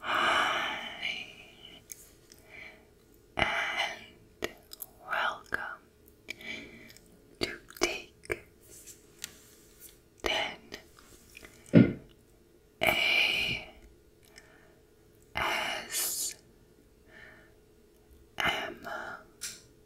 Hi, and welcome to Take Ten A S M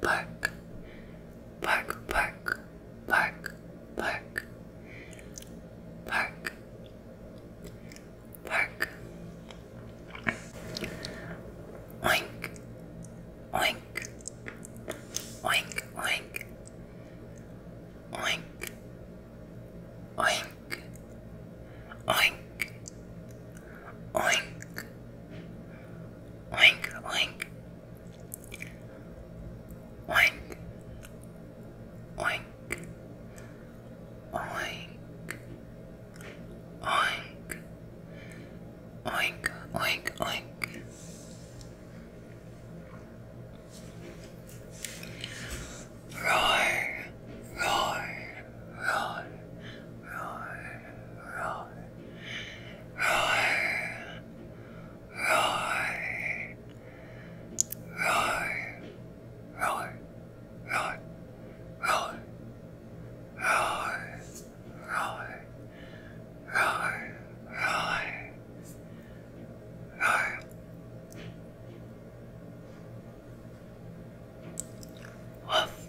bark, bark, bark, bark, bark, bark, bark, oink, oink, oink, oink, oink, oink, oink, oink. Oink, oink, Oink, oink, oink, oink, oink, oink, oink. Roar, roar, roar, roar, roar, Roar. Roar. Roar. Roar. Roar. Roar. Roar. Roar. Roar. Roar. Roar. Woof.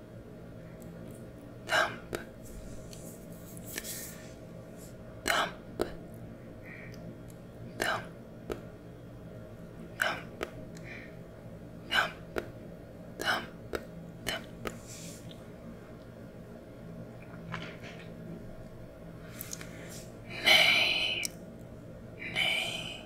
Thump, thump, thump, thump, thump, thump, thump. Nay, nay, nay,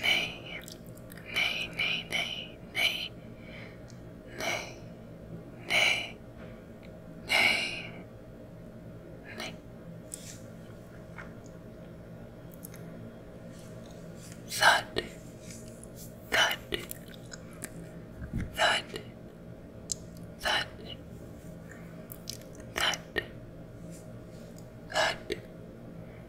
Nay, nay, nay, nay, nay, nay, nay, nay, nay. Thud, thud, thud, thud, thud, thud,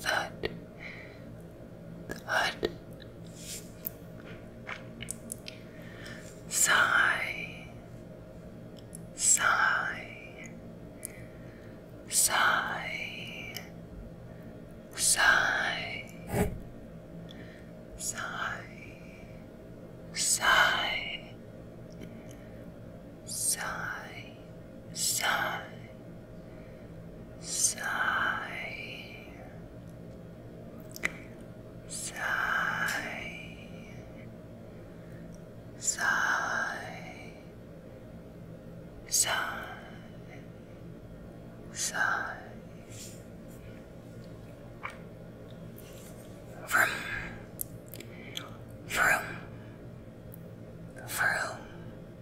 thud, thud. Sigh, sigh, sigh, sigh, sigh, sigh, sigh sigh, sigh, sigh, sigh, sigh, sigh. Vroom, vroom, vroom,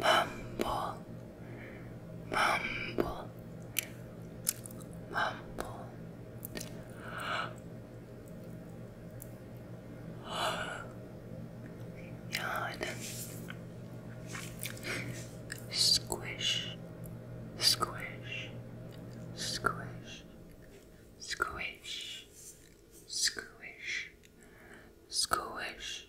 mumble, mumble, mumble. Yawn. Squish, squish, squish, squish, squish, squish,